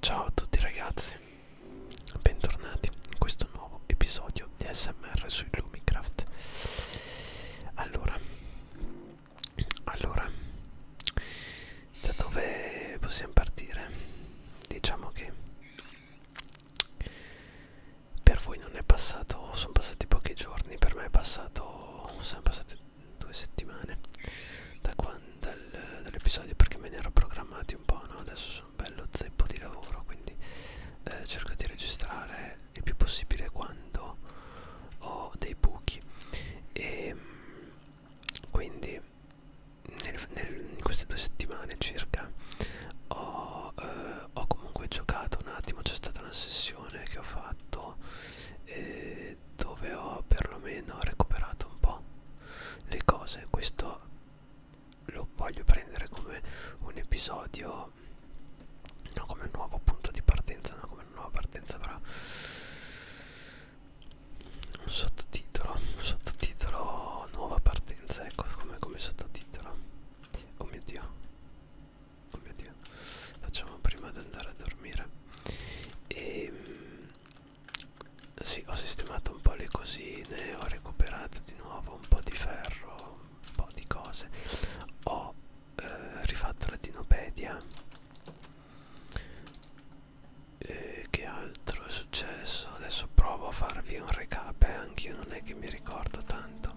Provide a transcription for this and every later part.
Ciao a tutti ragazzi, bentornati in questo nuovo episodio di SMR su Lumicraft. Allora, allora, da dove possiamo partire? Diciamo che per voi non è passato, sono passati pochi giorni, per me è passato, sono passati due settimane da dal, dall'episodio perché me ne ero programmati un po', no? Adesso sono bello zeppo di lavoro, quindi eh, cerco di registrare il più possibile quando ho dei buchi e ehm, quindi nel, nel, in queste due settimane circa ho, eh, ho comunque giocato un attimo, c'è stata una sessione che ho fatto eh, mese dove ho perlomeno recuperato un po' le cose questo lo voglio prendere come un episodio non come un nuovo punto di partenza non come una nuova partenza però un sottotitolo un sottotitolo nuova partenza ecco come, come sottotitolo oh mio dio oh mio dio facciamo prima di andare a dormire e ehm, sì, ho sistemato un po' le cosine, ho recuperato di nuovo un po' di ferro, un po' di cose. Ho eh, rifatto la dinopedia. E eh, che altro è successo? Adesso provo a farvi un recap, eh? anche io non è che mi ricordo tanto.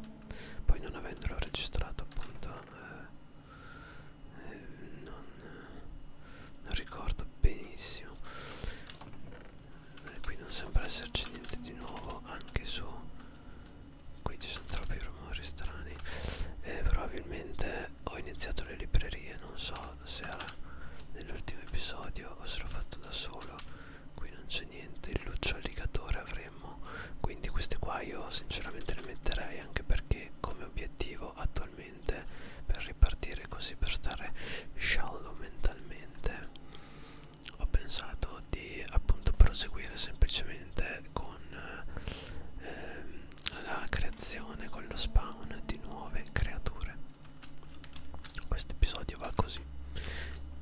Poi non avendolo registrato appunto eh, eh, non, eh, non ricordo benissimo eh, qui non sembra esserci niente di nuovo anche su qui ci sono troppi rumori strani eh, probabilmente ho iniziato le librerie non so se era nell'ultimo episodio o se l'ho fatto da solo qui non c'è niente il lucciollicatore avremmo quindi queste qua io sinceramente le metterei anche perché come obiettivo attualmente mentalmente per ripartire così per stare sciallo mentalmente ho pensato di appunto proseguire semplicemente con ehm, la creazione con lo spawn di nuove creature questo episodio va così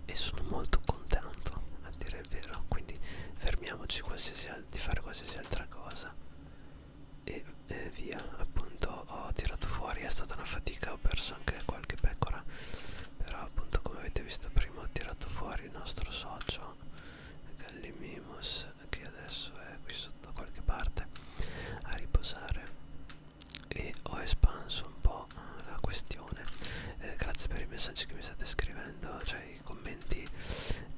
e sono molto contento a dire il vero quindi fermiamoci di fare qualsiasi altra cosa e, e via appunto ho tirato fuori è stata una fatica ho perso anche qualche pecora però appunto come avete visto prima ho tirato fuori il nostro socio Gallimimus che adesso è qui sotto da qualche parte a riposare e ho espanso un po' la questione eh, grazie per i messaggi che mi state scrivendo cioè i commenti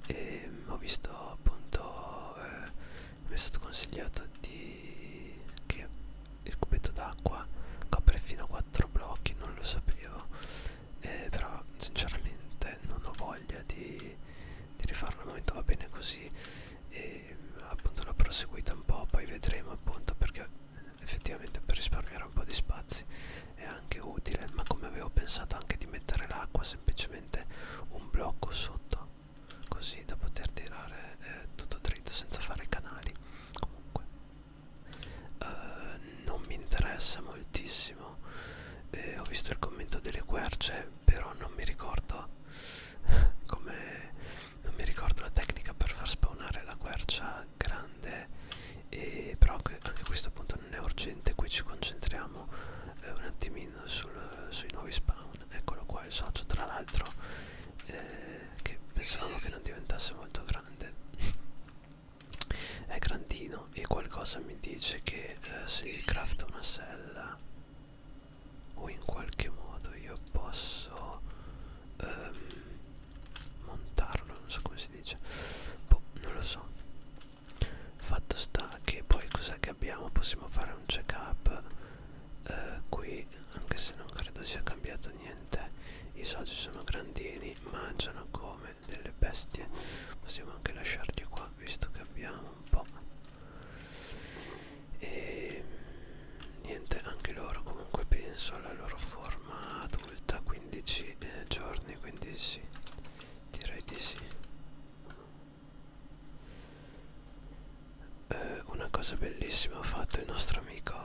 e ho visto appunto eh, mi è stato consigliato di che il cubetto d'acqua copre fino a 4 blocchi non lo sapevo eh, però sinceramente non ho voglia di, di rifarlo al momento va bene così e appunto l'ho proseguita un po' poi vedremo appunto perché effettivamente per risparmiare un po' di spazi è anche utile ma come avevo pensato anche di mettere l'acqua semplicemente un blocco sotto così da poter tirare eh, tutto dritto senza fare canali comunque uh, non mi interessa moltissimo eh, ho visto il commento delle querce però non mi ricordo come non mi ricordo la tecnica per far spawnare la quercia grande e però anche questo appunto non è urgente qui ci concentriamo eh, un attimino in sul, sui nuovi spawn eccolo qua il socio tra l'altro eh, che pensavamo che non diventasse molto grande è grandino e qualcosa mi dice che eh, se gli crafto una sella o in qualche modo io posso ehm, montarlo non so come si dice boh non lo so fatto sta che poi cos'è che abbiamo possiamo fare un check up eh, qui anche se non credo sia cambiato niente i soci sono grandini mangiano come delle bestie possiamo anche lasciarli qua visto che abbiamo un po' e niente anche loro comunque penso alla loro forma adulta 15 eh, giorni quindi sì direi di sì eh, una cosa bellissima ha fatto il nostro amico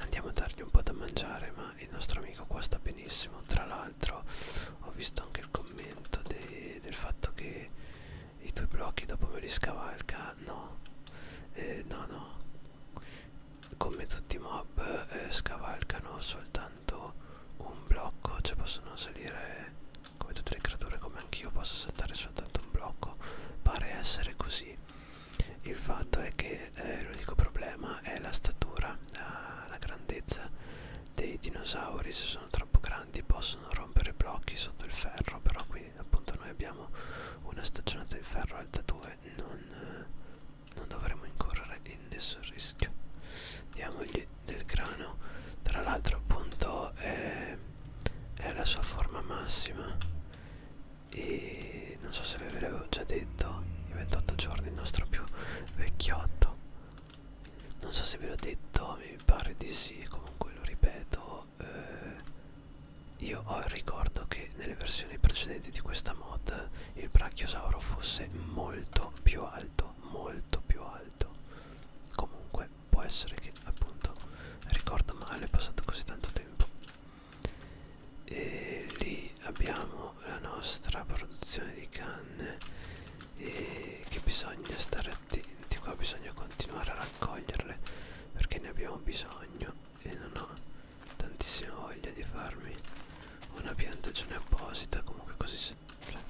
andiamo a dargli un po' da mangiare ma il nostro amico qua sta benissimo tra l'altro ho visto anche il commento de del fatto che i tuoi blocchi dopo me li scavalca no eh, no no come tutti i mob eh, scavalcano soltanto un blocco cioè possono salire come tutte le creature come anch'io posso saltare soltanto un blocco Pare essere così Il fatto è che eh, l'unico problema è la statura la, la grandezza dei dinosauri Se sono troppo grandi possono rompere blocchi sotto il ferro Però qui appunto noi abbiamo una stagionata di ferro alta 2 non, eh, non dovremo incorrere in nessun rischio Diamogli del grano tra l'altro appunto è, è la sua forma massima e non so se ve l'avevo già detto i 28 giorni il nostro più vecchiotto non so se ve l'ho detto mi pare di sì comunque lo ripeto eh, io ho il ricordo che nelle versioni precedenti di questa mod il brachiosauro fosse molto più alto molto più alto comunque può essere che appunto ricordo male, è passato così tanto tempo. E lì abbiamo la nostra produzione di canne e che bisogna stare attenti qua, bisogna continuare a raccoglierle perché ne abbiamo bisogno e non ho tantissima voglia di farmi una piantagione apposita, comunque così se sempre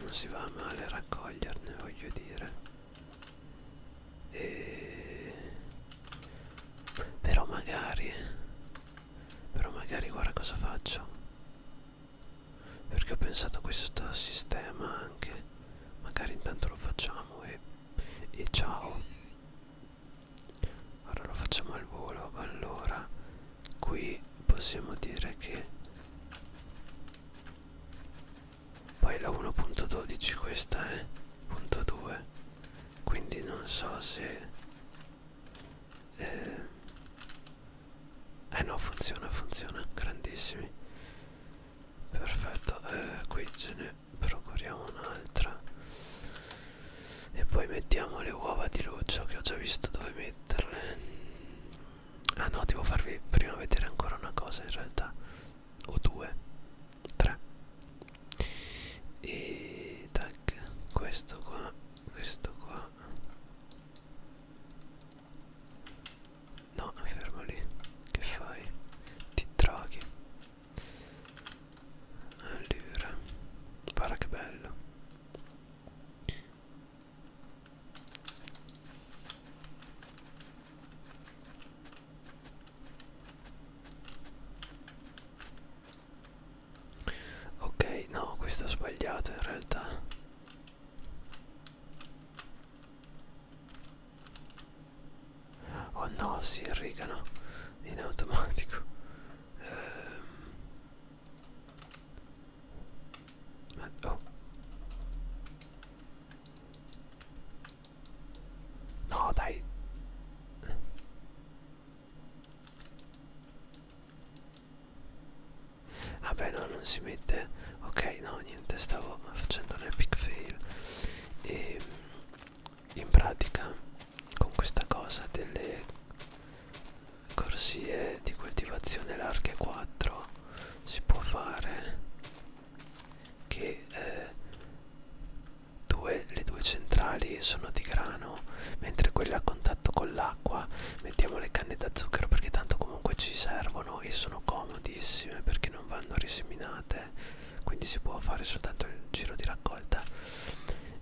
non si va male a raccoglierne voglio dire e... però magari però magari guarda cosa faccio perché ho pensato a questo sistema anche magari intanto lo facciamo e, e ciao allora lo facciamo al volo allora qui possiamo dire che poi la 1.12 questa è eh, punto 2 quindi non so se eh, eh no funziona funziona grandissimi perfetto eh, qui ce ne procuriamo un'altra e poi mettiamo le uova di luccio che ho già visto dove metterle ah no devo farvi prima vedere ancora una cosa in realtà o due tre e tac questo qua questo qua no fermo lì che fai ti droghi allora guarda che bello Ok, no, questa è sbagliata in realtà. Oh no, si irrigano in automatico. Ehm, ma oh. No, dai. Vabbè, no, non si mette. Ok, no, niente, stavo facendo un epic fail. E in pratica con questa cosa delle corsie di coltivazione larghe 4 si può fare che eh, due, le due centrali sono di grano mentre quelle a contatto con l'acqua mettiamo le canne da zucchero perché tanto comunque ci servono e sono comodissime perché non vanno riseminate quindi si può fare soltanto il giro di raccolta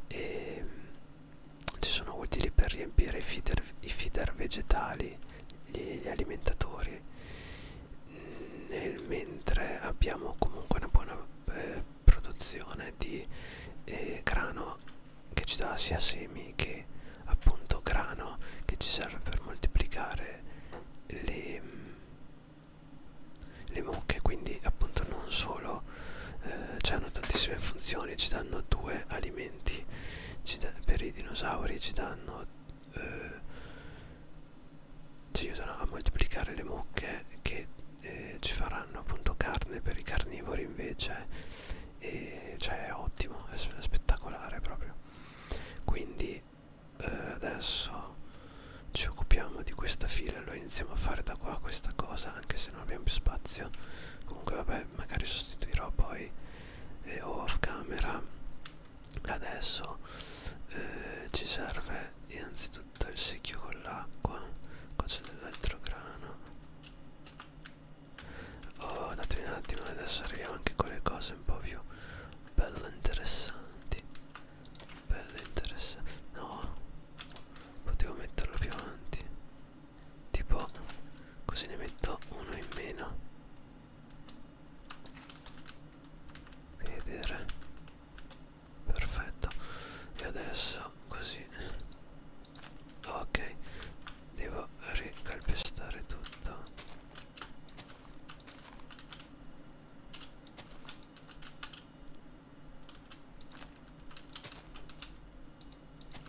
e ehm, ci sono utili per riempire i feeder, i feeder vegetali gli, gli alimentatori nel mentre abbiamo comunque una buona eh, produzione di eh, grano che ci dà sia semi che appunto grano che ci serve per moltiplicare le, mm, le mucche quindi appunto non solo eh, hanno tantissime funzioni ci danno due alimenti ci da, per i dinosauri ci danno danno eh, ci aiutano a moltiplicare le mucche che eh, ci faranno appunto carne per i carnivori invece e cioè è ottimo è spettacolare proprio quindi eh, adesso ci occupiamo di questa fila lo iniziamo a fare da qua questa cosa anche se non abbiamo più spazio comunque vabbè magari sostituirò poi eh, o off camera adesso eh, ci serve innanzitutto il secchio con l'acqua qua c'è dell'altro grano oh datemi un attimo adesso arriviamo anche con le cose un po' più belle interessanti belle interessanti no potevo metterlo più avanti tipo così ne metto uno in meno vedere perfetto e adesso così ok devo ricalpestare tutto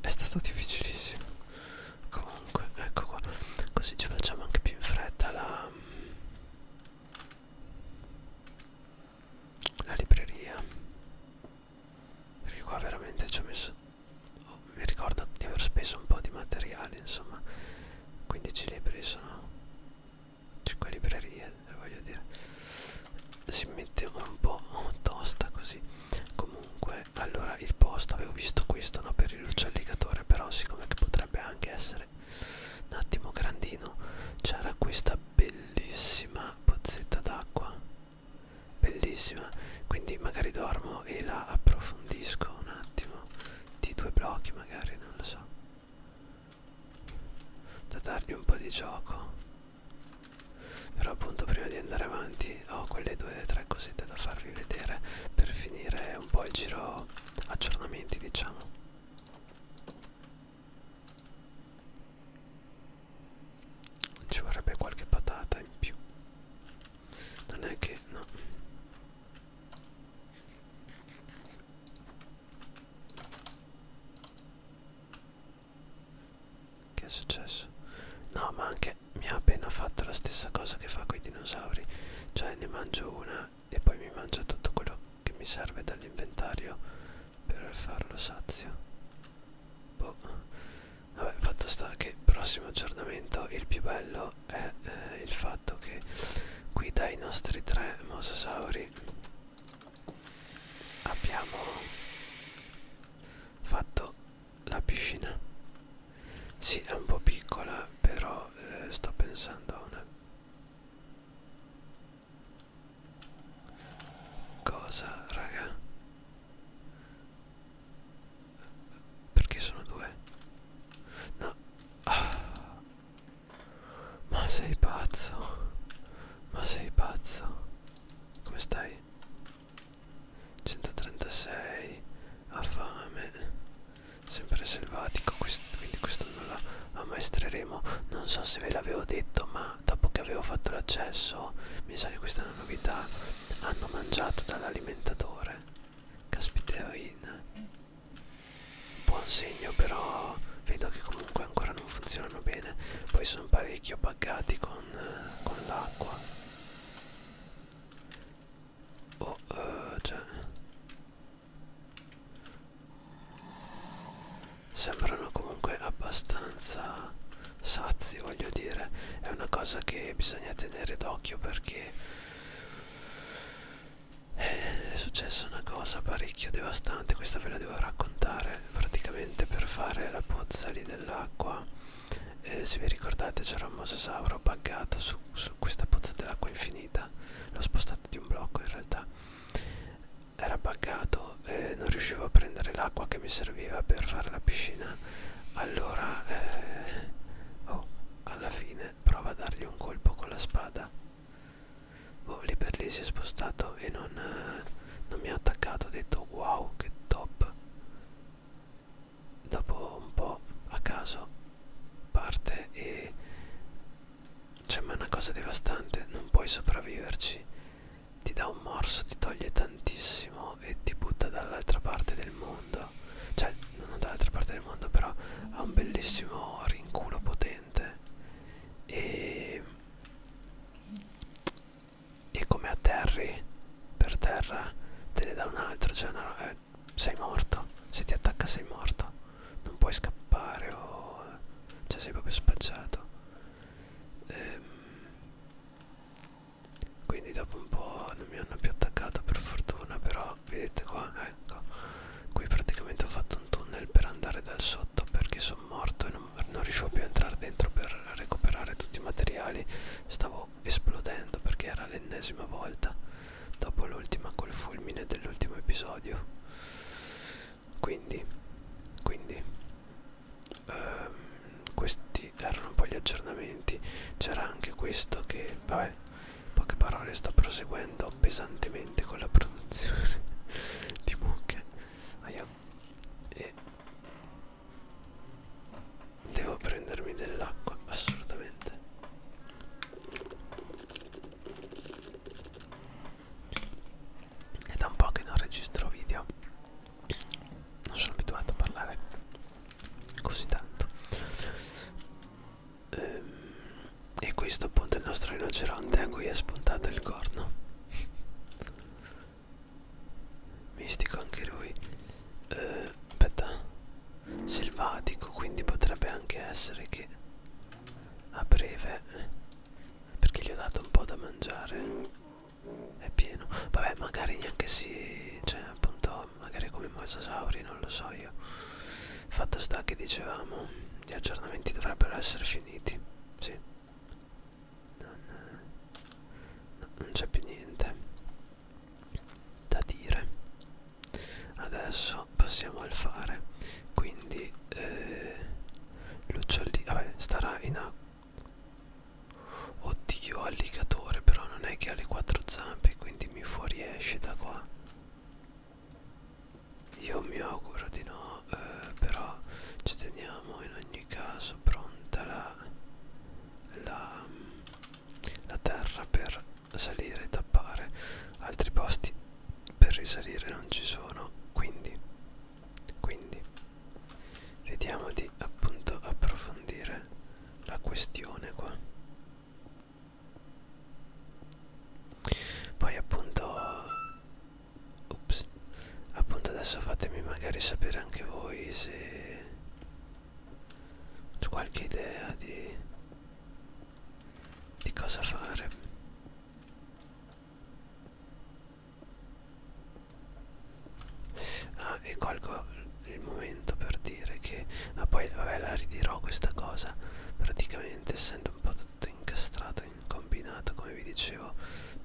È stato difficilissimo. Comunque, ecco qua. Così ci facciamo anche più in fretta la, la libreria. Perché qua veramente ci ho messo... Oh, mi ricordo di aver speso un po' di materiali, insomma. 15 libri sono 5 librerie eh, voglio dire si mette un po' tosta così comunque allora il posto avevo visto questo no per il lucelligatore però siccome che potrebbe anche essere un attimo grandino c'era questa bellissima pozzetta d'acqua bellissima quindi magari dormo e la approfondisco un attimo di due blocchi magari non lo so da dargli un po' di gioco però appunto prima di andare avanti ho quelle due o tre cosette da farvi vedere per finire un po' il giro aggiornamenti diciamo ci vorrebbe qualche patata in più non è che no che è successo? No, ma anche mi ha appena fatto la stessa cosa che fa con i dinosauri. Cioè ne mangio una e poi mi mangio tutto quello che mi serve dall'inventario per farlo sazio. Boh. Vabbè, fatto sta che prossimo aggiornamento il più bello è eh, il fatto che qui dai nostri tre mosasauri abbiamo fatto la piscina sì è un po' piccola però eh, sto pensando a una cosa raga perché sono due no oh. Ma sei pazzo? Ma sei pazzo? Come stai? 136 ha fame sempre selvatico quest quindi questo non la ammaestreremo non so se ve l'avevo detto ma dopo che avevo fatto l'accesso mi sa che questa è una novità hanno mangiato dall'alimentatore caspiterina Buon segno però vedo che comunque ancora non funzionano bene. Poi sono parecchio buggati con, eh, con l'acqua. Oh, eh, cioè... Sembrano comunque abbastanza sazi, voglio dire. È una cosa che bisogna tenere d'occhio perché è successa una cosa parecchio devastante questa ve la devo raccontare praticamente per fare la pozza lì dell'acqua eh, se vi ricordate c'era un mosasauro buggato su, su questa pozza dell'acqua infinita l'ho spostato di un blocco in realtà era buggato eh, non riuscivo a prendere l'acqua che mi serviva per fare la piscina allora eh, oh, alla fine prova a dargli un colpo con la spada boh, lì per lì si è spostato e non, eh, non mi ha attaccato ho detto wow che top dopo un po' a caso parte e cioè ma è una cosa devastante non puoi sopravviverci ti dà un morso ti toglie tantissimo e ti butta dall'altra parte del mondo cioè non dall'altra parte del mondo però ha un bellissimo rinculo potente e, e come atterri per terra te ne dà un altro cioè una, eh, sei morto se ti attacca sei morto non puoi scappare o cioè sei proprio spacciato ehm, quindi dopo un po' non mi hanno più attaccato per fortuna però qua vedete qua ecco qui praticamente ho fatto un tunnel per andare dal sotto perché sono morto e non, non riuscivo più a entrare dentro per recuperare tutti i materiali stavo esplodendo perché era l'ennesima volta dopo l'ultima col fulmine dell'ultimo episodio quindi quindi ehm, questi erano un po' gli aggiornamenti c'era anche questo che vabbè poche parole sto proseguendo pesantemente con la produzione di mucche Aia. e devo prendermi dell'acqua assolutamente è da un po' che non registro video non sono abituato a parlare così tanto Ehm, e questo appunto è il nostro rinoceronte a cui è spuntato il corno mistico anche lui eh, aspetta selvatico quindi potrebbe anche essere che a breve perché gli ho dato un po' da mangiare è pieno vabbè magari neanche si cioè appunto magari come i mosasauri non lo so io Fatto sta che dicevamo, gli aggiornamenti dovrebbero essere finiti. Sì. Non, eh, no, non c'è più niente da dire. Adesso passiamo al fare. Quindi eh, l'uccellino... Vabbè, starà in acqua. Oddio, alligatore, però non è che ha le quattro zampe, quindi mi fuoriesce da qua. Io mi auguro di no, eh, però ci teniamo in ogni caso pronta la, la, la terra per salire e tappare. Altri posti per risalire non ci sono, quindi, quindi vediamo di appunto approfondire la questione qua poi appunto ups appunto adesso fatemi magari sapere anche voi se ho qualche idea di di cosa fare ah e colgo il momento per dire che ah poi vabbè la ridirò questa cosa praticamente essendo diventa un po' tutto incastrato, incombinato, come vi dicevo,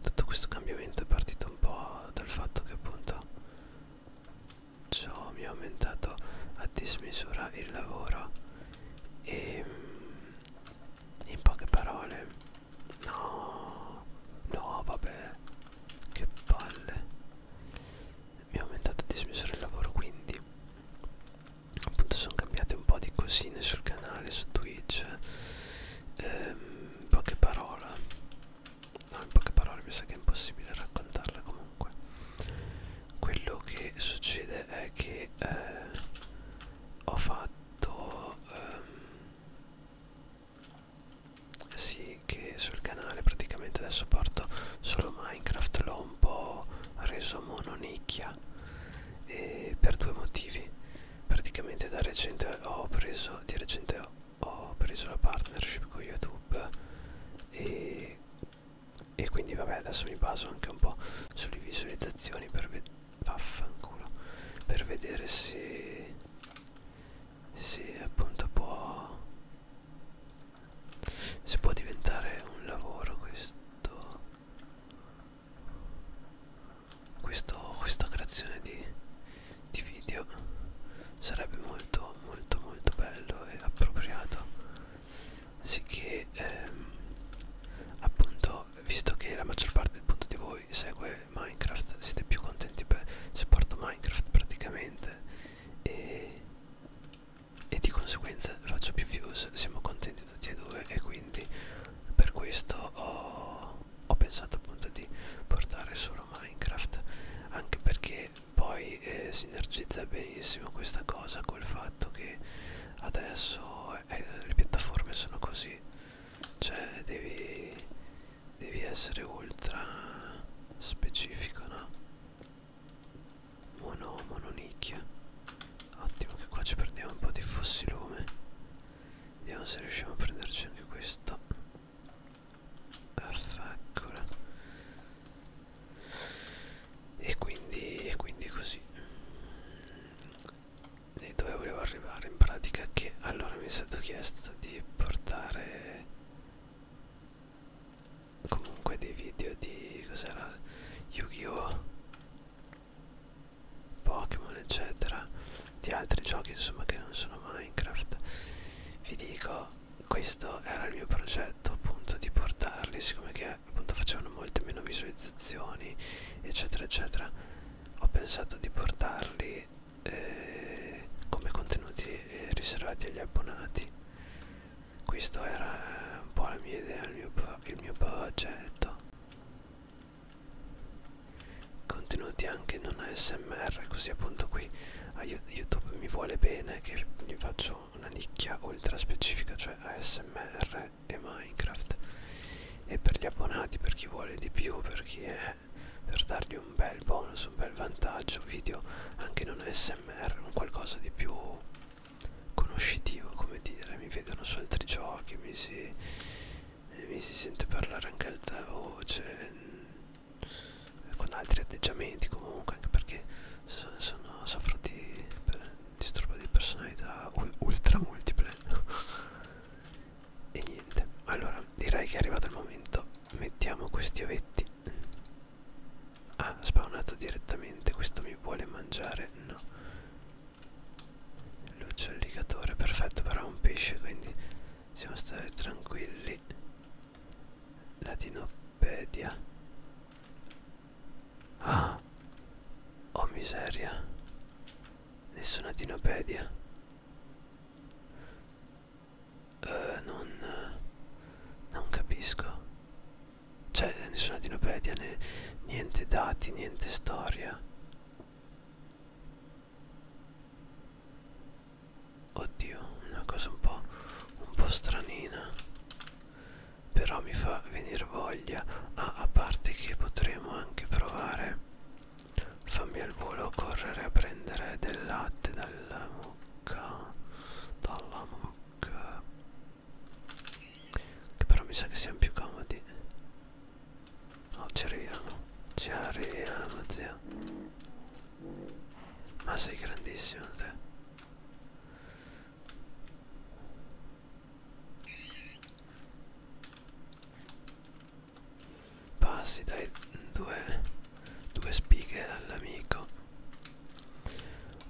tutto questo cambiamento è partito un po' dal fatto che appunto ciò mi ha aumentato a dismisura il lavoro e mm, in poche parole no no vabbè che palle mi ha aumentato a dismisura il lavoro quindi appunto sono cambiate un po' di cosine sul canale su Twitch ehm, in poche parole no in poche parole mi sa che è impossibile raccontarla comunque quello che succede è che eh, ho fatto ehm, sì che sul canale praticamente adesso porto solo Minecraft l'ho un po' reso mononicchia e per due motivi praticamente da recente ho preso di recente ho preso la partnership con youtube e, e quindi vabbè adesso mi baso anche un po' sulle visualizzazioni per vedere vaffanculo per vedere se se appunto può se può diventare un lavoro questo questo, questa creazione di, di video sarebbe molto molto molto bello e appropriato sicché ehm, appunto visto che la maggior parte appunto, di voi segue Minecraft siete più contenti per, se porto Minecraft praticamente e e di conseguenza faccio più views siamo contenti tutti e due e quindi per questo ho, ho pensato appunto di portare solo Minecraft anche perché poi eh, sinergizza benissimo questa cosa col fatto che adesso eh, le piattaforme sono così cioè devi devi essere ultra specifico no mono oh mononicchia ottimo che qua ci prendiamo un po' di fossilume vediamo se riusciamo a prenderci anche questo perfetto e quindi e quindi così e dove volevo arrivare in pratica che allora mi è stato chiesto di portare comunque dei video di cos'era Yu-Gi-Oh Pokémon eccetera di altri giochi insomma che non sono Minecraft vi dico questo era il mio progetto appunto di portarli siccome che appunto facevano molte meno visualizzazioni eccetera eccetera ho pensato di portarli eh, come contenuti eh, riservati agli abbonati questo era un po' la mia idea il mio il mio budget contenuti anche non ASMR così appunto qui a YouTube mi vuole bene che gli faccio una nicchia ultra specifica cioè ASMR e Minecraft e per gli abbonati per chi vuole di più per chi è per dargli un bel bonus un bel vantaggio video anche non ASMR un qualcosa di più conoscitivo come dire mi vedono su altri giochi mi si, mi si sente parlare anche alta voce con altri atteggiamenti comunque anche perché sono, sono soffro di disturbo di personalità ultra multiple e niente allora direi che è arrivato il momento mettiamo questi ovetti ah spawnato direttamente questo mi vuole mangiare no Luccio alligatore, perfetto, però è un pesce, quindi possiamo stare tranquilli. Latinopedia. Ah! Oh miseria. Nessuna dinopedia. Uh, non... non capisco. Cioè, nessuna dinopedia, né, niente dati, niente storia. Oddio, una cosa un po', un po' stranina. Però mi fa venire voglia. Ah, a parte che potremo anche provare. Fammi al volo correre a prendere del latte dalla mucca. Dalla mucca. Che però mi sa che siamo più comodi. Oh, ci arriviamo. Ci arriviamo, zio. Ma sei grandissimo, te. Passi dai due, due spighe all'amico.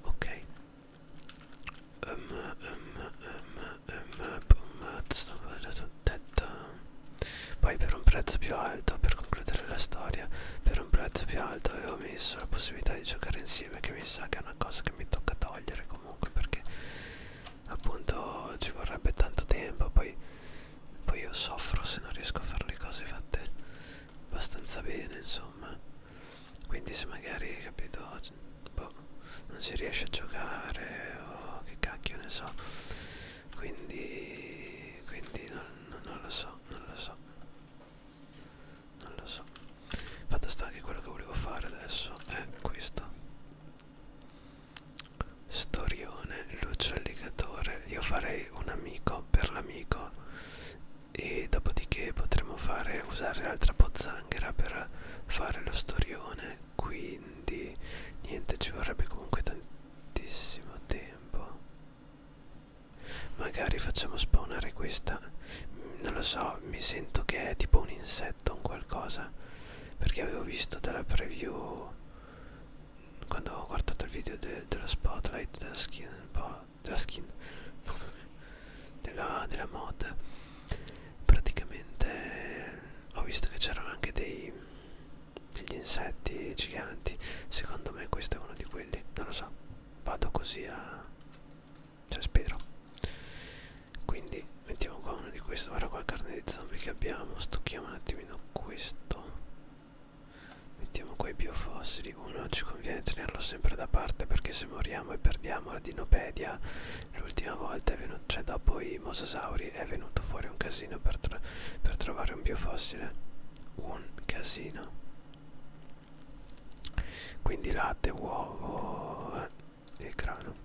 Ok, poi per un prezzo più alto, per concludere la storia, per un prezzo più alto avevo messo la possibilità di giocare insieme che mi sa che è una cosa che mi tocca togliere comunque perché appunto ci vorrebbe tanto tempo, poi, poi io soffro se non riesco a fare le cose fatte abbastanza bene insomma quindi se magari capito boh, non si riesce a giocare o che cacchio ne so quindi quindi non, non, non lo so non lo so non lo so fatto sta che quello che volevo fare adesso è questo storione luccio alligatore io farei un amico per l'amico e dopodiché potremmo fare usare l'altra pozzanghera Anghera per fare lo storione quindi niente ci vorrebbe comunque tantissimo tempo magari facciamo spawnare questa mm, non lo so mi sento che è tipo un insetto un qualcosa perché avevo visto dalla preview quando ho guardato il video de, dello spotlight della skin un po' della skin della, della mod praticamente ho visto che c'erano anche dei, degli insetti giganti secondo me questo è uno di quelli non lo so vado così a cioè spero quindi mettiamo qua uno di questi ora qua carne di zombie che abbiamo stocchiamo un attimino questo mettiamo qua i biofossili uno ci conviene tenerlo sempre da parte perché se moriamo e perdiamo la dinopedia L'ultima volta è venuto, cioè dopo i mosasauri è venuto fuori un casino per, tro per trovare un biofossile. Un casino. Quindi latte, uovo eh, e grano.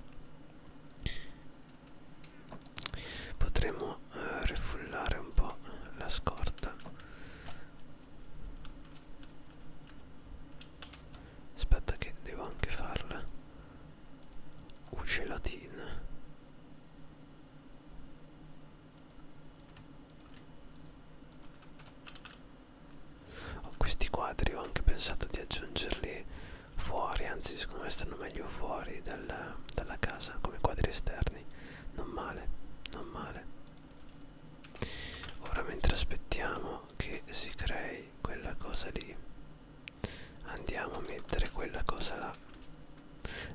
Potremmo eh, rifullare un po' la scorta aspetta che devo anche farla ucelatina oh, questi quadri ho anche pensato di aggiungerli fuori anzi secondo me stanno meglio fuori dalla, dalla casa come quadri esterni non male non male ora mentre aspettiamo che si crei ok quella cosa lì andiamo a mettere quella cosa là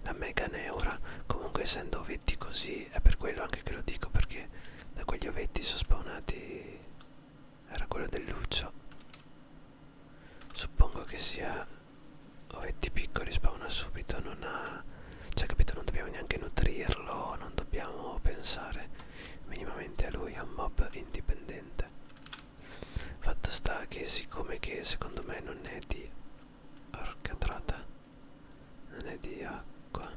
la mega neura comunque essendo ovetti così è per quello anche che lo dico perché da quegli ovetti sono spawnati era quello del luccio suppongo che sia ovetti piccoli spawna subito non ha cioè capito non dobbiamo neanche nutrirlo non dobbiamo pensare minimamente a lui è un mob indipendente fatto sta che siccome che secondo me non è di arcatrata non è di acqua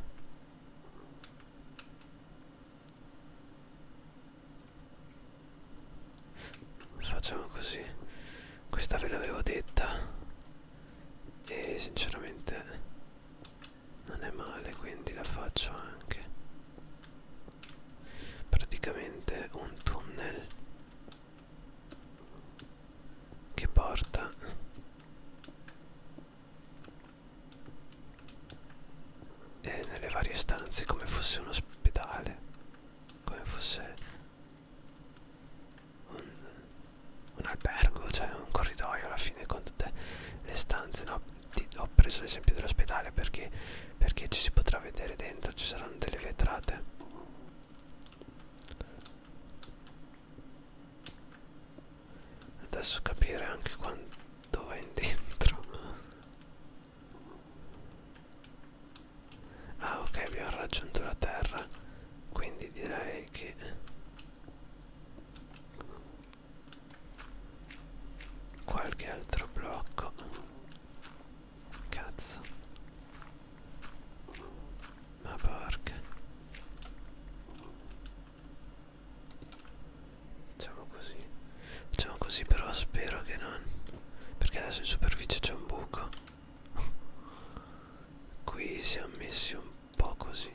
facciamo così questa ve l'avevo detta e sinceramente non è male quindi la faccio anche praticamente un tunnel che porta e nelle varie stanze come fosse un ospedale come fosse un, un albergo cioè un corridoio alla fine con tutte le stanze no ti ho preso l'esempio dell'ospedale perché, perché ci si potrà vedere dentro, ci saranno delle vetrate. Adesso capire anche quanto va in dentro. Ah ok, abbiamo raggiunto la terra, quindi direi che qualche altro blocco cazzo ma porca facciamo così facciamo così però spero che non perché adesso in superficie c'è un buco qui siamo messi un po' così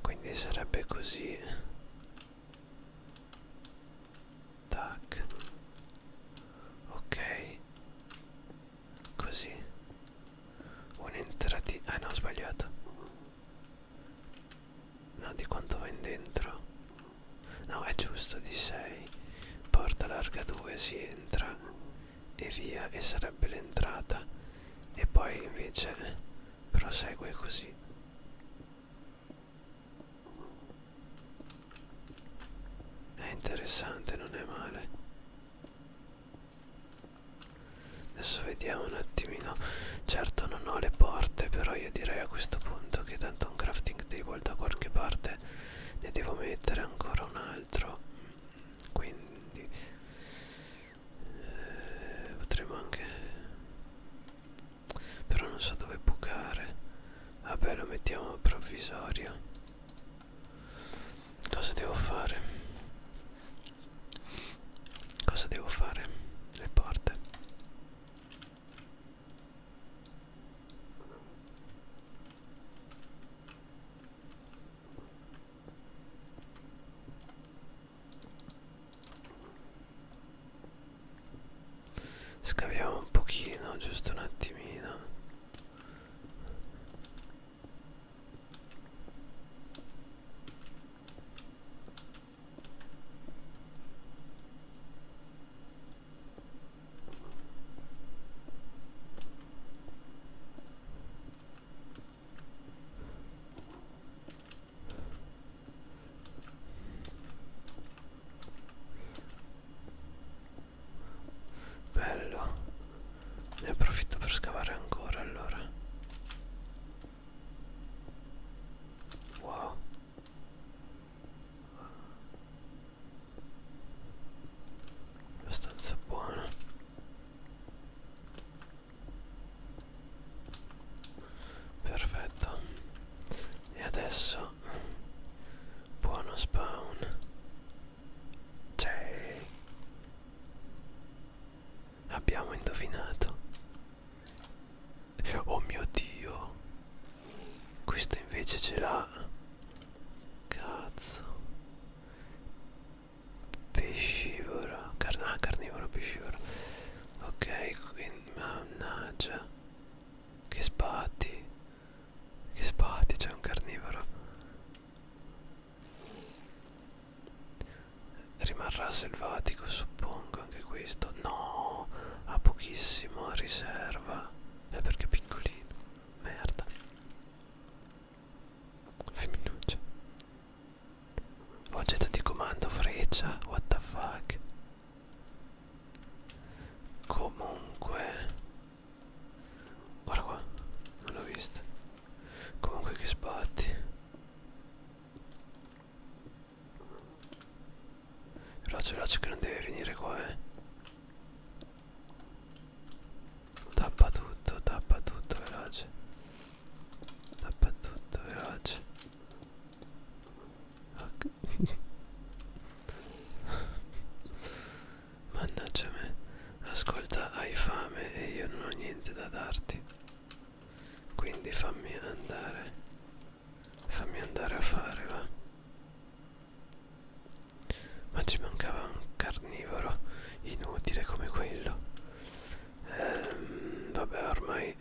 quindi sarebbe così tac ok così un'entratina ah no ho sbagliato no di quanto va in dentro no è giusto di 6 porta larga 2 si entra e via e sarebbe l'entrata e poi invece prosegue così è interessante non è male adesso vediamo un attimino certo non ho le porte però io direi a questo punto che tanto un crafting table da qualche parte ne devo mettere ancora un altro quindi eh, potremmo anche però non so dove bucare vabbè lo mettiamo provvisorio cosa devo fare cosa devo fare le porte Scaviamo un pochino, giusto un attimino. Bello. Ne approfitto per scavare ancora allora. Wow. Abbastanza buono. Perfetto. E adesso buono spawn. C'è. Cioè, abbiamo indovinato. Oh mio dio. Questo invece ce l'ha. Cazzo pescivoro Car ah, carnivoro pescivoro ok quindi mannaggia che spatti che spatti c'è un carnivoro rimarrà selvatico suppongo anche questo no ha pochissimo riserva è perché è piccolino merda Femminuccia. Oggetto di comando freccia, what the fuck. Comunque... Guarda qua, non l'ho vista. Comunque che sbatti. Veloce, veloce che non deve venire qua, eh. Tappa tutto, tappa tutto, veloce dappertutto veloce okay. mannaggia me ascolta hai fame e io non ho niente da darti quindi fammi andare fammi andare a fare va ma ci mancava un carnivoro inutile come quello ehm, vabbè ormai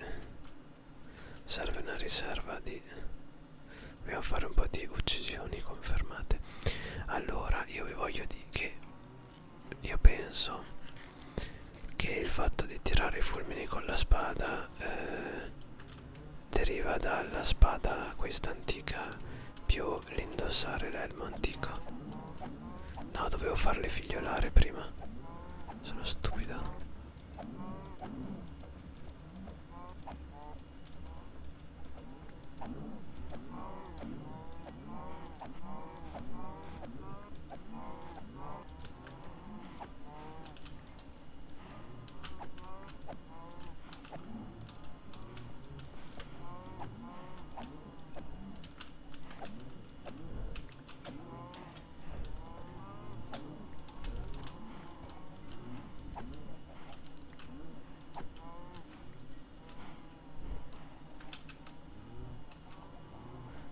serve una riserva di dobbiamo fare un po' di uccisioni confermate allora io vi voglio dire che io penso che il fatto di tirare i fulmini con la spada eh, deriva dalla spada questa antica più l'indossare l'elmo antico No, dovevo farle figliolare prima. Sono stupida.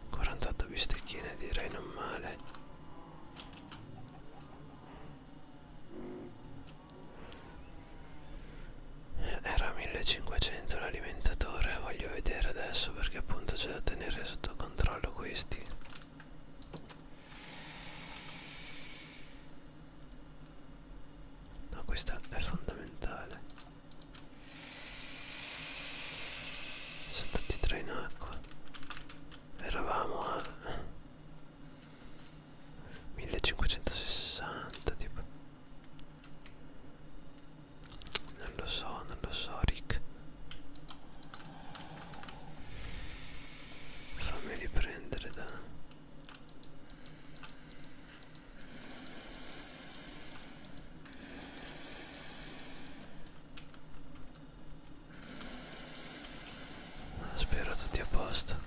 48 bistecchine direi non male era 1500 l'alimentatore, voglio vedere adesso perché appunto c'è da tenere sotto controllo questi. No, questa è fondamentale. Sono tutti e tre in acqua. Eravamo a 1560 tipo. Non lo so, non lo so, Rick. Fammi riprendere da... Ah, spero tutti a posto.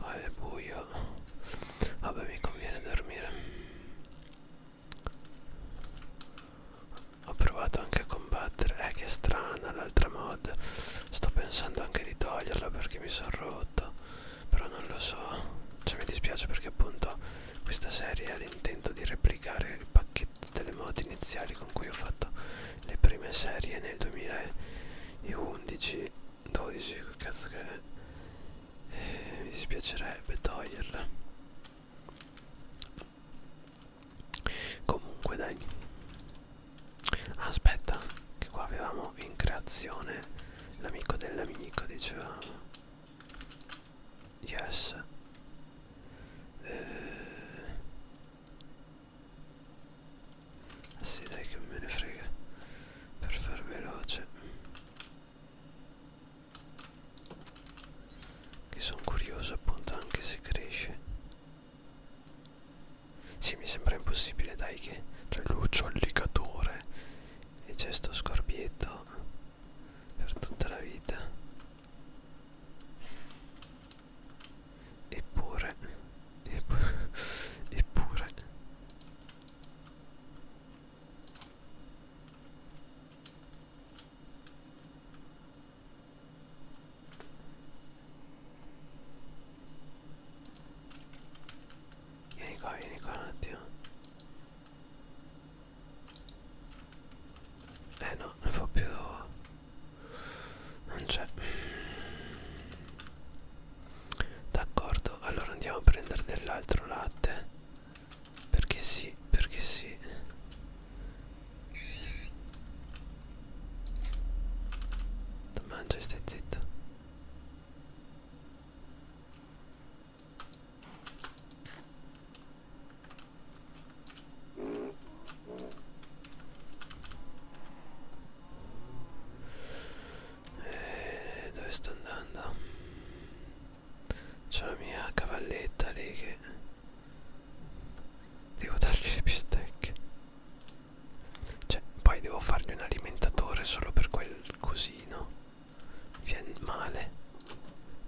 Ah è buio Vabbè mi conviene dormire Ho provato anche a combattere Eh che strana l'altra mod Sto pensando anche di toglierla perché mi sono rotto Però non lo so Cioè mi dispiace perché appunto Questa serie ha l'intento di replicare il pacchetto delle mod iniziali Con cui ho fatto le prime serie nel 2011 12 che cazzo che è eh, mi dispiacerebbe toglierla comunque dai ah, aspetta che qua avevamo in creazione l'amico dell'amico dicevamo yes eh, eh sì dai che me ne frega Per far veloce Che sono curioso appunto anche se cresce Sì mi sembra impossibile dai che C'è Lucio alligatore E c'è sto scorpietto Per tutta la vita Eppure Eppure Eppure Vieni qua, vieni qua un attimo. Eh no, un po' più... non c'è. D'accordo, allora andiamo a prendere dell'altro latte. Perché sì, perché sì. Mangia e stai zitto eh, dove sto andando c'è la mia cavalletta lì che devo dargli le bistecche cioè poi devo fargli un alimentatore solo per quel cosino viene male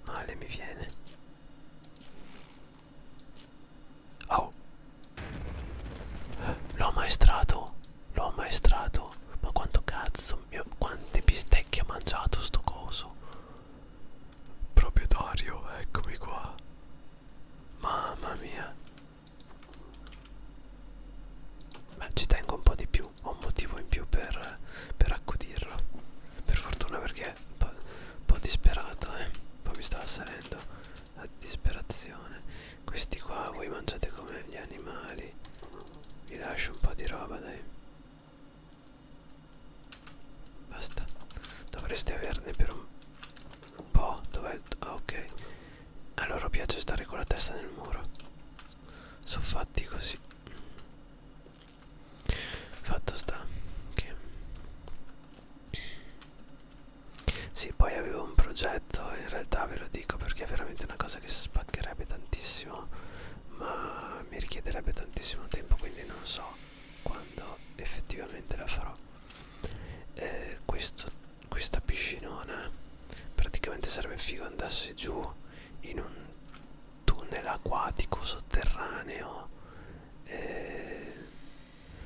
male mi viene oh l'ho maestrato L'ho ammaestrato? Ma quanto cazzo, mio, quante bistecche ha mangiato sto coso? Proprietario, eccomi qua. Mamma mia. Ma ci tengo un po' di più, ho un motivo in più per, per accudirlo. Per fortuna perché un po', un po disperato, eh. Poi mi stava salendo la disperazione. Questi qua voi mangiate come gli animali. Vi lascio un po' di roba, dai. Basta. Dovreste averne per un po'. Dov'è il... Ah, ok. A loro piace stare con la testa nel muro. Sono fatti così. Fatto sta che... Sì, poi avevo un progetto letto in realtà ve lo dico perché è veramente una cosa che spaccherebbe tantissimo ma mi richiederebbe tantissimo tempo quindi non so quando effettivamente la farò eh, questo, questa piscinona praticamente sarebbe figo andarsi giù in un tunnel acquatico sotterraneo eh,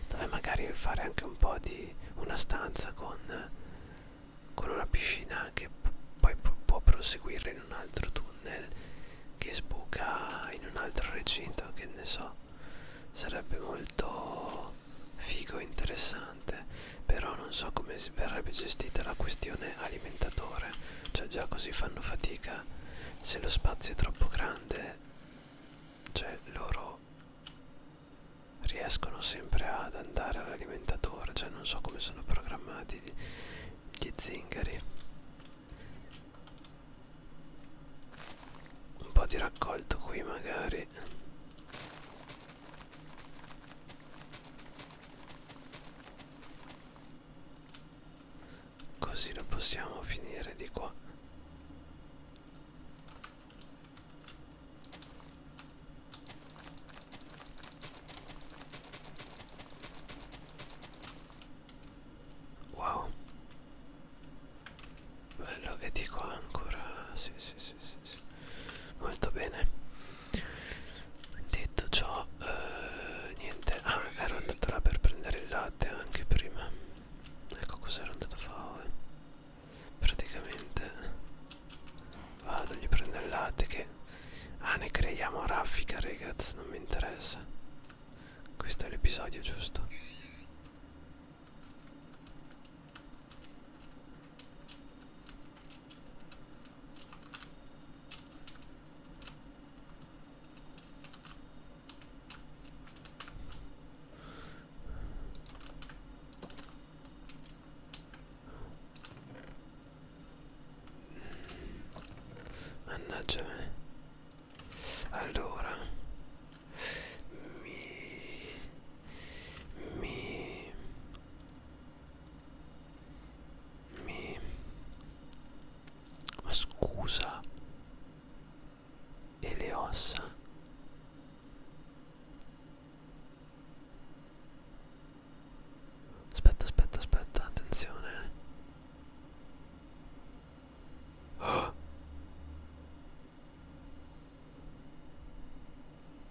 dove magari fare anche un po' di una stanza con con una piscina che poi può proseguire in un altro tunnel che sbuca in un altro recinto che ne so sarebbe molto figo e interessante però non so come verrebbe gestita la questione alimentatore cioè già così fanno fatica se lo spazio è troppo grande cioè loro riescono sempre ad andare all'alimentatore cioè non so come sono programmati gli zingari un po' di raccolto qui magari così lo possiamo finire di qua Wow. Bello e di qua ancora. Sì, sì, sì, sì, sì. Molto bene. Detto ciò, eh, niente. Ah, ero andato là per prendere il latte anche prima. Ecco cos'ero andato a fare praticamente vado gli prendo il latte che ah ne creiamo a raffica ragazzi non mi interessa questo è l'episodio giusto Mannaggia me. Eh. Allora. Mi... Mi... Mi... Ma scusa. E le ossa. Aspetta, aspetta, aspetta, attenzione. Oh.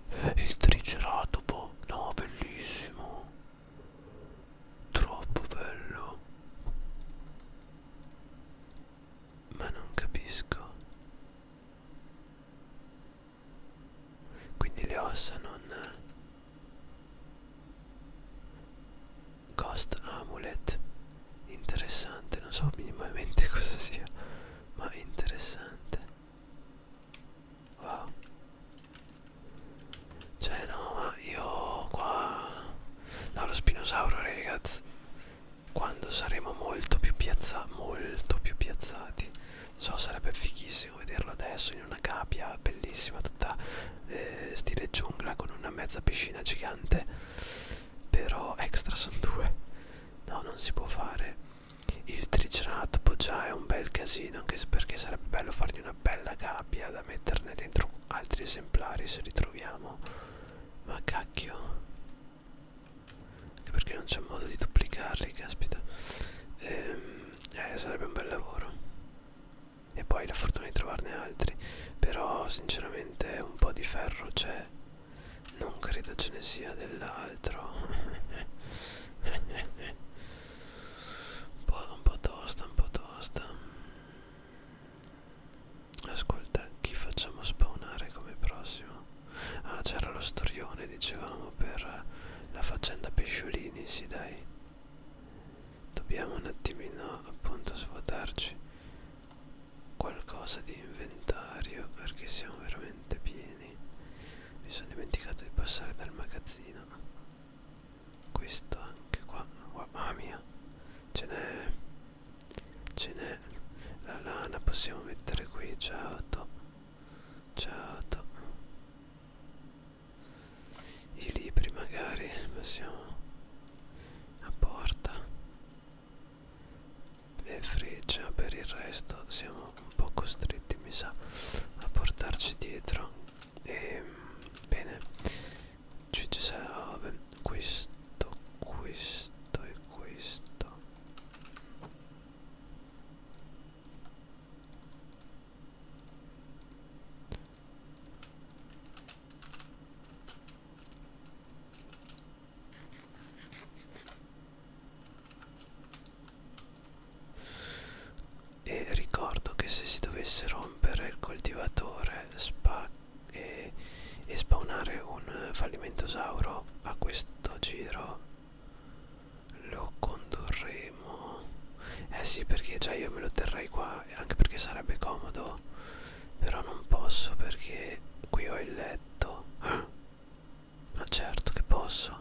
Il triceratopo, no, bellissimo. Troppo bello. Ma non capisco quindi le ossa non eh, Ghost Amulet interessante non so minimamente cosa sia ma interessante wow cioè no ma io qua no lo spinosauro ragazzi quando saremo molto più piazzati molto più piazzati so sarebbe fighissimo vederlo adesso in una capia bellissima tutta eh, stile giungla con una mezza piscina gigante però extra sono due no non si può fare il triceratopo boh, già è un bel casino anche perché sarebbe bello fargli una bella gabbia da metterne dentro altri esemplari se li troviamo ma cacchio anche perché non c'è modo di duplicarli caspita ehm, eh, sarebbe un bel lavoro e poi la fortuna di trovarne altri però sinceramente un po' di ferro c'è non credo ce ne sia dell'altro un, po', un po' tosta un po' tosta ascolta chi facciamo spawnare come prossimo Ah, c'era lo storione, dicevamo, per la faccenda pesciolini, sì dai. Dobbiamo un attimino appunto svuotarci qualcosa di inventario perché siamo veramente pieni. Mi sono dimenticato di passare dal magazzino. Questo anche qua. Oh, mamma mia. Ce n'è. Ce n'è. La lana possiamo mettere qui, ciao. Certo. I libri magari passiamo a porta. E freccia per il resto siamo un po' costretti mi sa a portarci dietro. E bene. Ci sarà questo, questo e questo e ricordo che se si dovesse rompere il coltivatore e, e spawnare un fallimentosauro a questo giro lo condurremo eh sì perché già io me lo terrei qua anche perché sarebbe comodo però non posso perché qui ho il letto ma certo che posso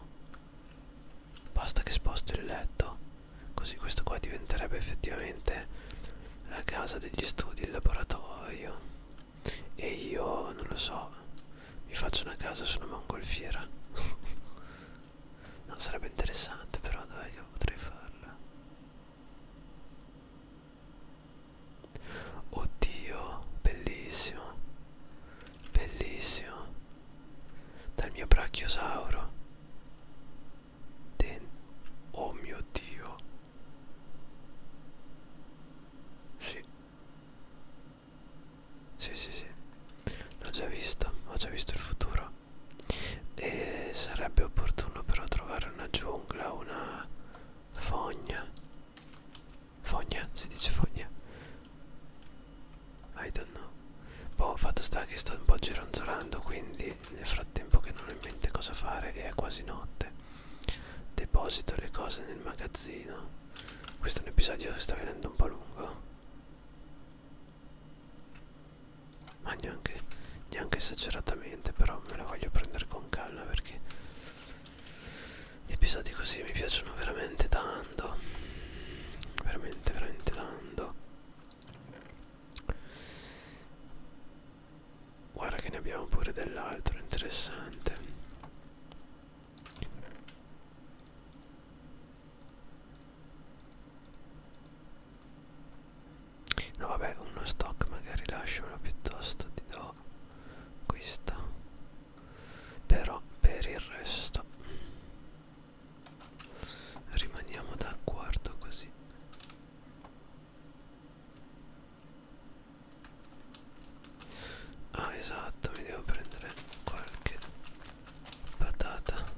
basta che sposto il letto così questo qua diventerebbe effettivamente la casa degli studi il laboratorio e io non lo so mi faccio una casa su una mongolfiera non sarebbe interessante però dov'è che potrei farla oddio bellissimo bellissimo dal mio brachiosauro Den oh mio dio sì sì, sì, sì. L'ho già visto, ho già visto il futuro. E sarebbe opportuno però trovare una giungla, una fogna. Fogna, si dice fogna. I don't know. Boh, fatto sta che sto un po' gironzolando, quindi nel frattempo che non ho in mente cosa fare e è quasi notte. Deposito le cose nel magazzino. Questo è un episodio che sta venendo un po' lungo. Ma neanche, neanche esageratamente, però me la voglio prendere con calma perché gli episodi così mi piacciono veramente tanto. Veramente, veramente tanto. Guarda che ne abbiamo pure dell'altro interessante. No vabbè uno stock magari lasciamelo piuttosto ti do questa però per il resto rimaniamo d'accordo così Ah esatto, mi devo prendere qualche patata.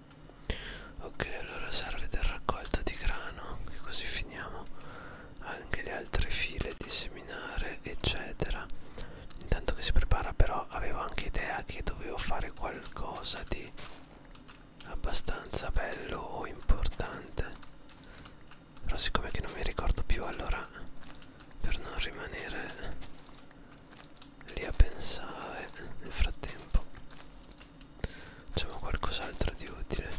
ok allora serve del raccolto di grano e così finiamo anche le altre file di seminare eccetera intanto che si prepara però avevo anche idea che dovevo fare qualcosa di abbastanza bello o importante però siccome che non mi ricordo più allora per non rimanere lì a pensare nel frattempo Facciamo qualcos'altro di utile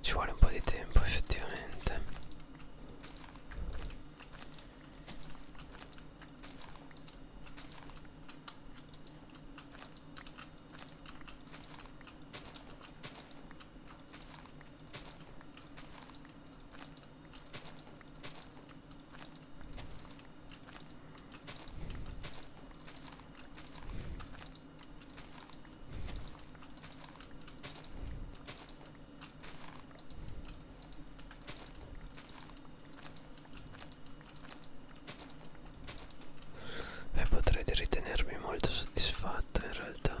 ci vuole un po' di tempo effettivamente e potrete ritenermi molto soddisfatto in realtà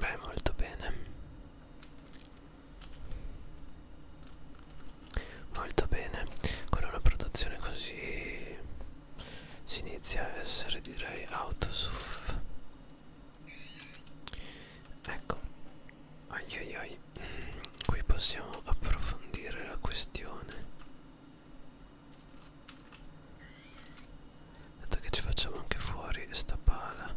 Beh, molto bene molto bene con una produzione così si inizia a essere direi autosuff ecco ai, ai qui possiamo approfondire la questione dato che ci facciamo anche fuori sta pala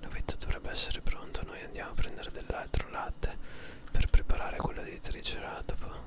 Novetta dovrebbe essere pronto, noi andiamo a prendere dell'altro latte per preparare quello dei triceratopo.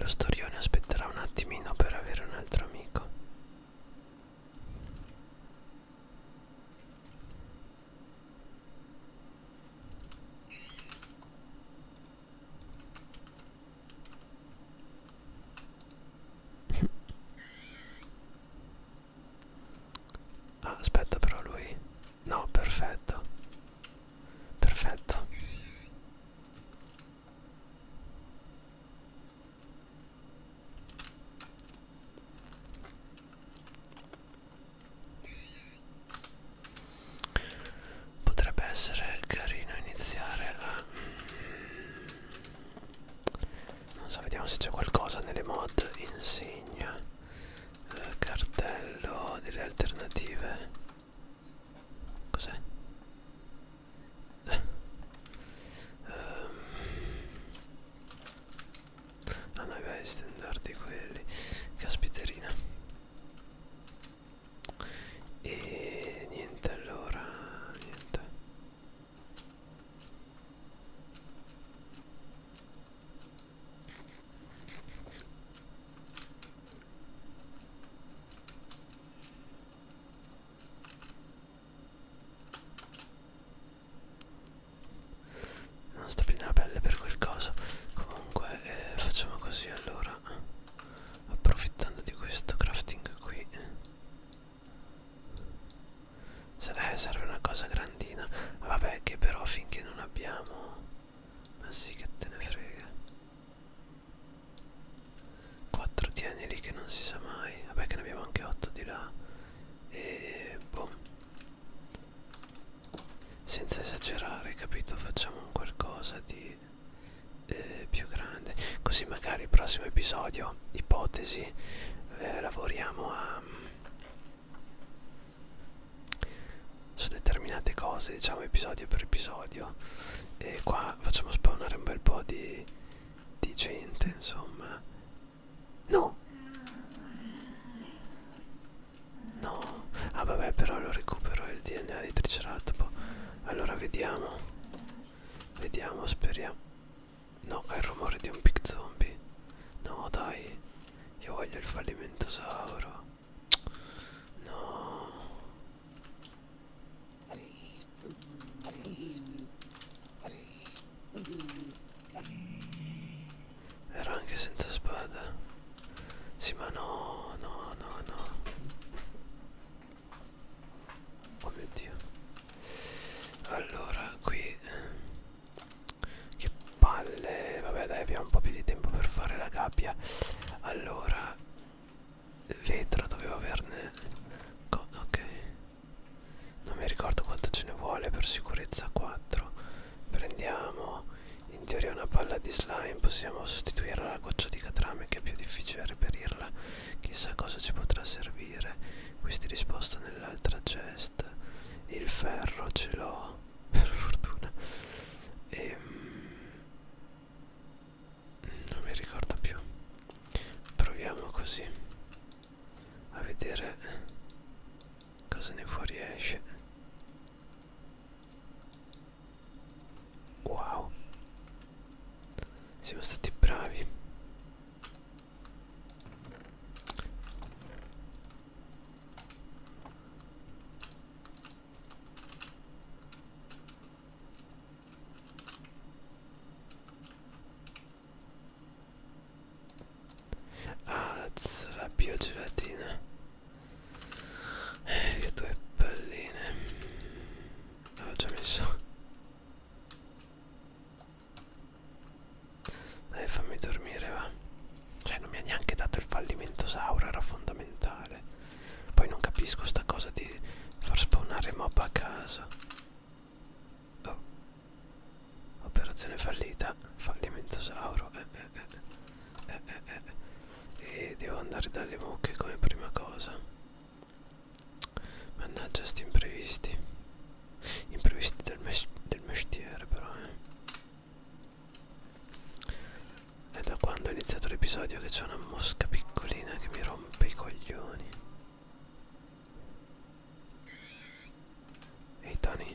Lo storione aspetterà un attimino per avere un altro amico. ah, aspetta però lui no perfetto perfetto Potrebbe essere carino iniziare a... Non so, vediamo se c'è qualcosa nelle mod. Insegna, eh, cartello delle alternative. Cos'è? Eh. Um. Ah no, vai standard di quelli. Caspiterina. E niente allora, niente non sta più nella pelle per quel coso comunque eh, facciamo così allora approfittando di questo crafting qui eh, serve una cosa grandina ah, vabbè che però finché non abbiamo ma sì che te ne frega 4 tieni lì che non si sa mai vabbè che ne abbiamo anche 8 di là e boh senza esagerare capito facciamo un qualcosa di eh, più grande così magari il prossimo episodio ipotesi eh, lavoriamo a mm, su determinate cose diciamo episodio per episodio e qua facciamo spawnare un bel po' di, di gente insomma No! No! Ah vabbè però lo recupero il DNA di Triceratopo. Allora vediamo. Vediamo, speriamo. No, è il rumore di un pic zombie. No dai. Io voglio il fallimentosauro. No. Ero anche senza spada. Sì, ma no, no, no, no. Oh mio dio. Allora, qui... Che palle. Vabbè, dai, abbiamo un po' più di tempo per fare la gabbia. Allora... Vetro dovevo averne... Co ok non mi ricordo quanto ce ne vuole per sicurezza 4 prendiamo in teoria una palla di slime possiamo sostituirla alla goccia di catrame che è più difficile reperirla chissà cosa ci potrà servire questa è risposta nell'altra chest il ferro ce l'ho per fortuna e ehm, non mi ricordo più proviamo così a vedere cosa ne fuoriesce wow siamo stati bravi Alza la biogelatina eh, Che due palline L'ho già messo Dai fammi dormire va Cioè non mi ha neanche dato il fallimento Sauro era fondamentale Poi non capisco sta cosa di far spawnare mob a caso Oh Operazione fallita, fallimento sauro. Eh, eh, eh, eh, eh, eh, eh. E devo andare dalle mucche come prima cosa. Mannaggia sti imprevisti. Imprevisti del, mes del mestiere però, eh. È da quando ho iniziato l'episodio che c'è una mosca piccolina che mi rompe i coglioni. Ehi hey Tony,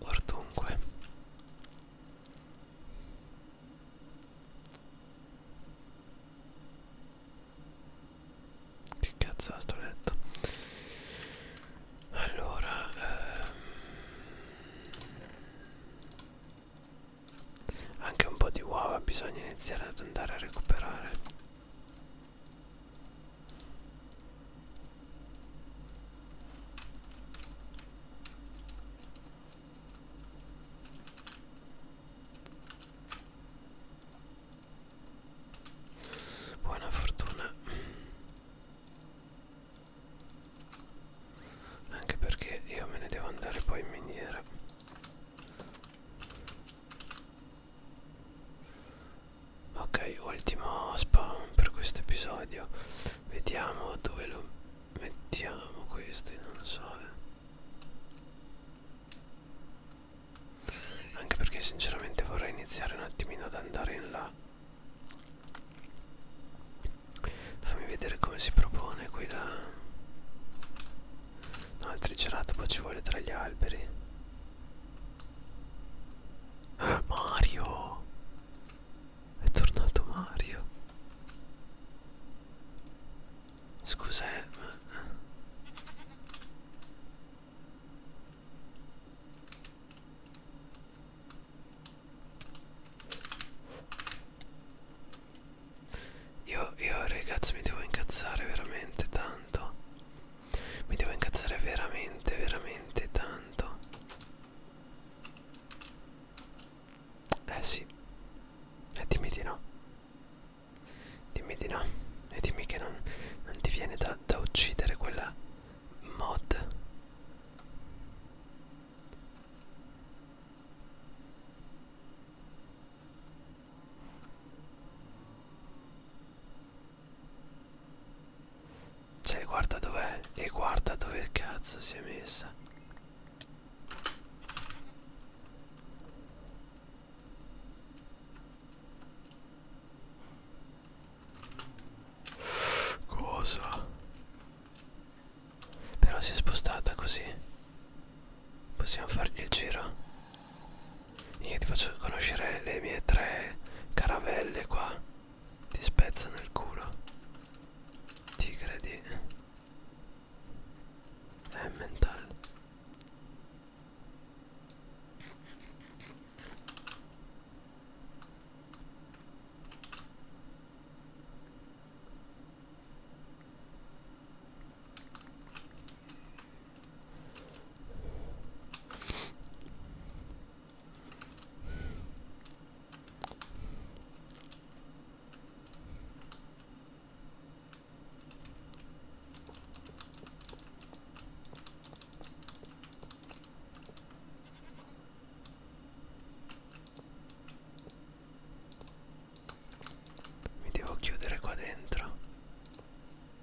Or dunque Che cazzo ha sto letto Allora ehm, Anche un po' di uova bisogna iniziare ad andare a recuperare Buona fortuna. Anche perché io me ne devo andare poi in miniera ok ultimo spawn per questo episodio vediamo dove lo mettiamo questo non lo so eh. anche perché sinceramente vorrei iniziare un attimino ad andare in là fammi vedere come si propone qui la no il triceratopo ci vuole tra gli alberi Mario è tornato Mario scusa eh, ma... Eh. Io, io ragazzi mi devo incazzare veramente tanto mi devo incazzare veramente, veramente tanto. Eh sì. E eh, dimmi di no. Dimmi di no. E dimmi che non, non ti viene da, da uccidere quella mod. Cioè guarda dov'è e guarda dove cazzo si è messa Cosa? Però si è spostata così Possiamo fargli il giro io ti faccio conoscere le mie tre caravelle qua. Ti spezzano il culo. Tigre di... È mentale. Mi devo chiudere qua dentro.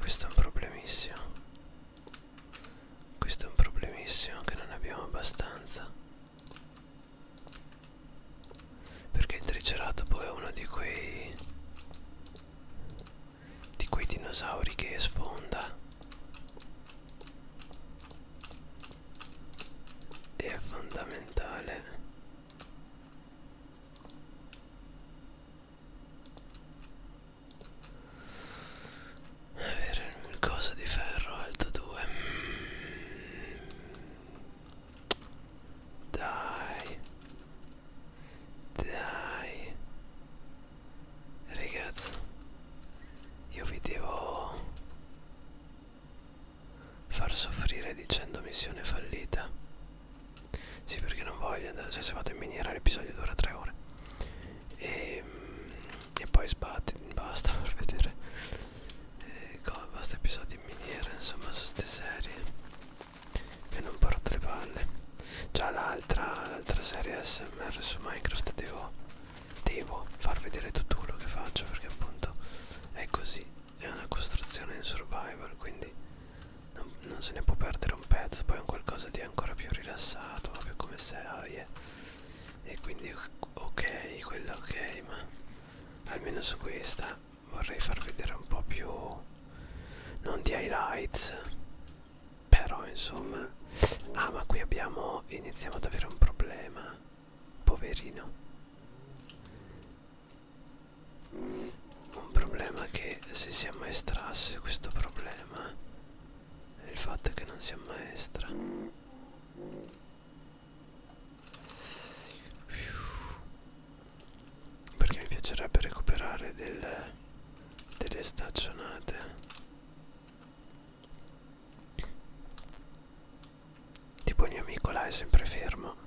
Questo è un problemissimo. Questo è un problemissimo che non abbiamo abbastanza. Perché il triceratopo è uno di quei di quei dinosauri che sfonda è fondamentale avere il coso di ferro alto 2 dai dai Ragazzi Io vi devo Far soffrire dicendo missione fallita Sì perché non voglio andare cioè, Se vado in miniera l'episodio dura 3 ore E, ehm, e poi sbatti Basta per vedere e, eh, Basta episodi in miniera Insomma su ste serie e non porto le palle già l'altra l'altra serie smr su minecraft devo devo far vedere tutto quello che faccio perché appunto è così è una costruzione in survival quindi non, non se ne può perdere un pezzo poi è un qualcosa di ancora più rilassato proprio come serie e quindi ok quella ok ma almeno su questa vorrei far vedere un po' più non di highlights però insomma Ah ma qui abbiamo Iniziamo ad avere un problema Poverino Un problema che Se si ammaestrasse questo problema È il fatto che non si ammaestra perché mi piacerebbe recuperare del, delle staccionate tipo il mio amico là è sempre fermo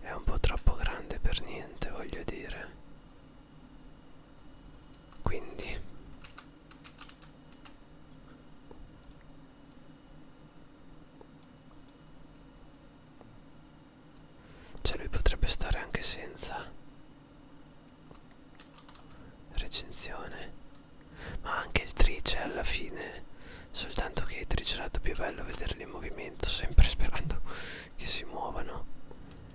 è un po' troppo grande per niente voglio dire quindi cioè lui potrebbe stare anche senza recensione. Ma anche il trice alla fine. Soltanto che il triceratopi è bello vederli in movimento, sempre sperando che si muovano.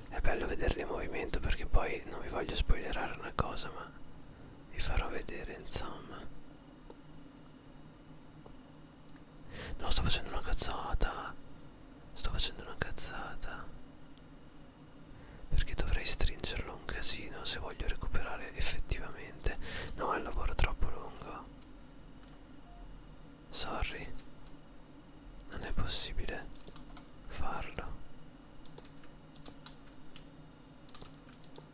È bello vederli in movimento perché poi non vi voglio spoilerare una cosa, ma vi farò vedere insomma. No, sto facendo una cazzata. Sto facendo una cazzata. Perché dovrei stringerlo un casino se voglio recuperare effettivamente. No, è un lavoro troppo lungo. Sorry. Non è possibile farlo.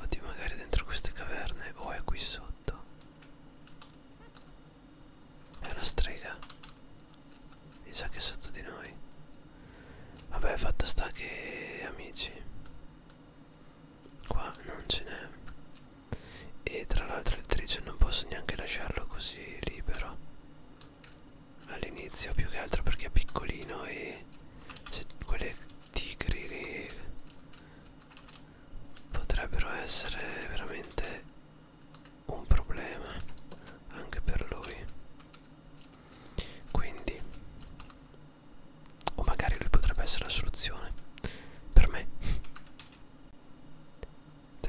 Oddio magari dentro queste caverne o oh, è qui sotto È una strega Mi sa che è sotto di noi Vabbè fatto sta che amici Qua non ce n'è e tra l'altro il trice non posso neanche lasciarlo così libero all'inizio più che altro perché è piccolino e se quelle tigri lì potrebbero essere veramente un problema anche per lui quindi o magari lui potrebbe essere la soluzione per me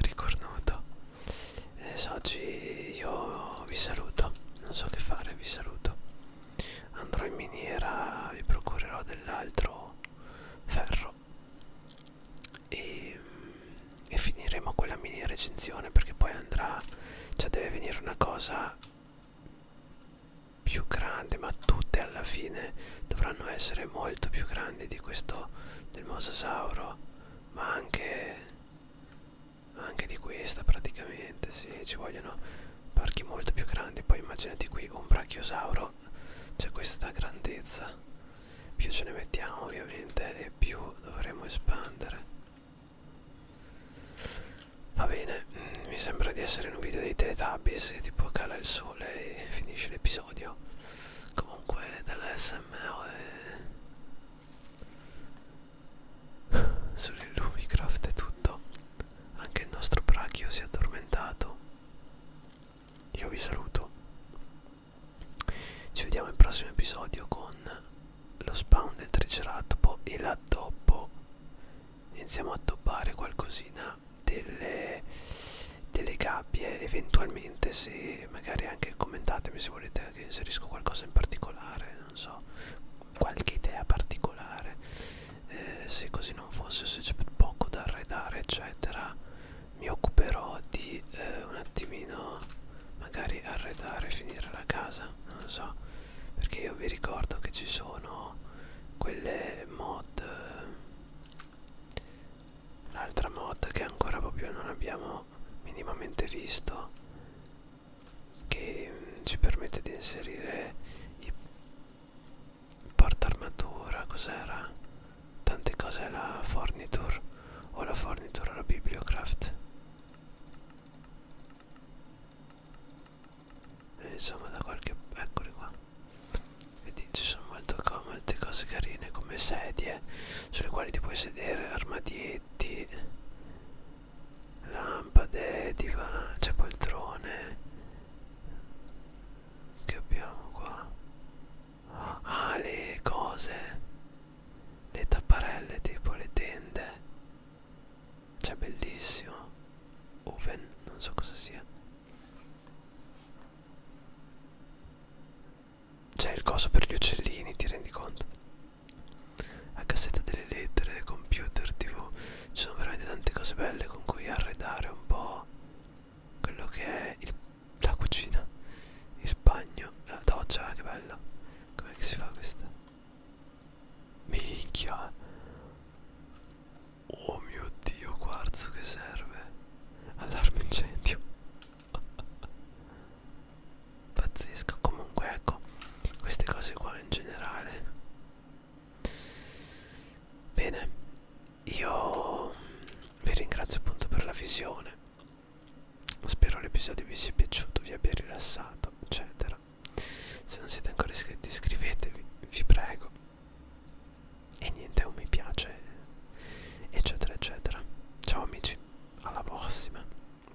ricornuto adesso eh, oggi io vi saluto non so che fare vi saluto andrò in miniera e procurerò dell'altro ferro e, mm, e finiremo quella mini recensione perché poi andrà cioè deve venire una cosa più grande ma tutte alla fine dovranno essere molto più grandi di questo del mosasauro ma anche anche di questa praticamente sì ci vogliono parchi molto più grandi poi immaginati qui un brachiosauro c'è questa grandezza più ce ne mettiamo ovviamente e più dovremo espandere va bene mm, mi sembra di essere in un video dei teletubbies e tipo cala il sole e finisce l'episodio comunque dall'SMR Sull'Illumicraft è tutto. Anche il nostro brachio si è addormentato. Io vi saluto. Ci vediamo al prossimo episodio con lo spawn del triceratopo e l'addobbo. Iniziamo a doppare qualcosina delle, delle gabbie eventualmente se magari anche commentatemi se volete che inserisco qualcosa in particolare non so qualche idea particolare eh, se così non fosse se c'è poco da arredare eccetera mi occuperò di eh, un attimino magari arredare finire la casa non lo so perché io vi ricordo che ci sono quelle mod eh, l'altra mod che ancora proprio non abbiamo minimamente visto che mm, ci permette di inserire i porta armatura cos'era tante cose la forniture o la fornitura la bibliocraft e eh, insomma da qualche eccoli qua vedi ci sono molto, molte cose carine come sedie sulle quali ti puoi sedere armadietti lampade, divano, cioè poltrone che abbiamo qua ah le cose le tapparelle tipo le tende cioè bellissimo oven non so cosa sia c'è il coso per gli uccellini ti rendi conto la cassetta delle lettere, computer, tv, ci sono veramente tante cose belle con cui arredare un po' quello che è il, la cucina, il bagno, la doccia, che bella, com'è che si fa questa? Minchia! Oh mio dio, quarzo che serve! Allarme incendio! pazzesca comunque ecco queste cose qua in generale bene io vi ringrazio appunto per la visione spero l'episodio vi sia piaciuto vi abbia rilassato eccetera se non siete ancora iscritti iscrivetevi vi prego e niente un mi piace eccetera eccetera ciao amici alla prossima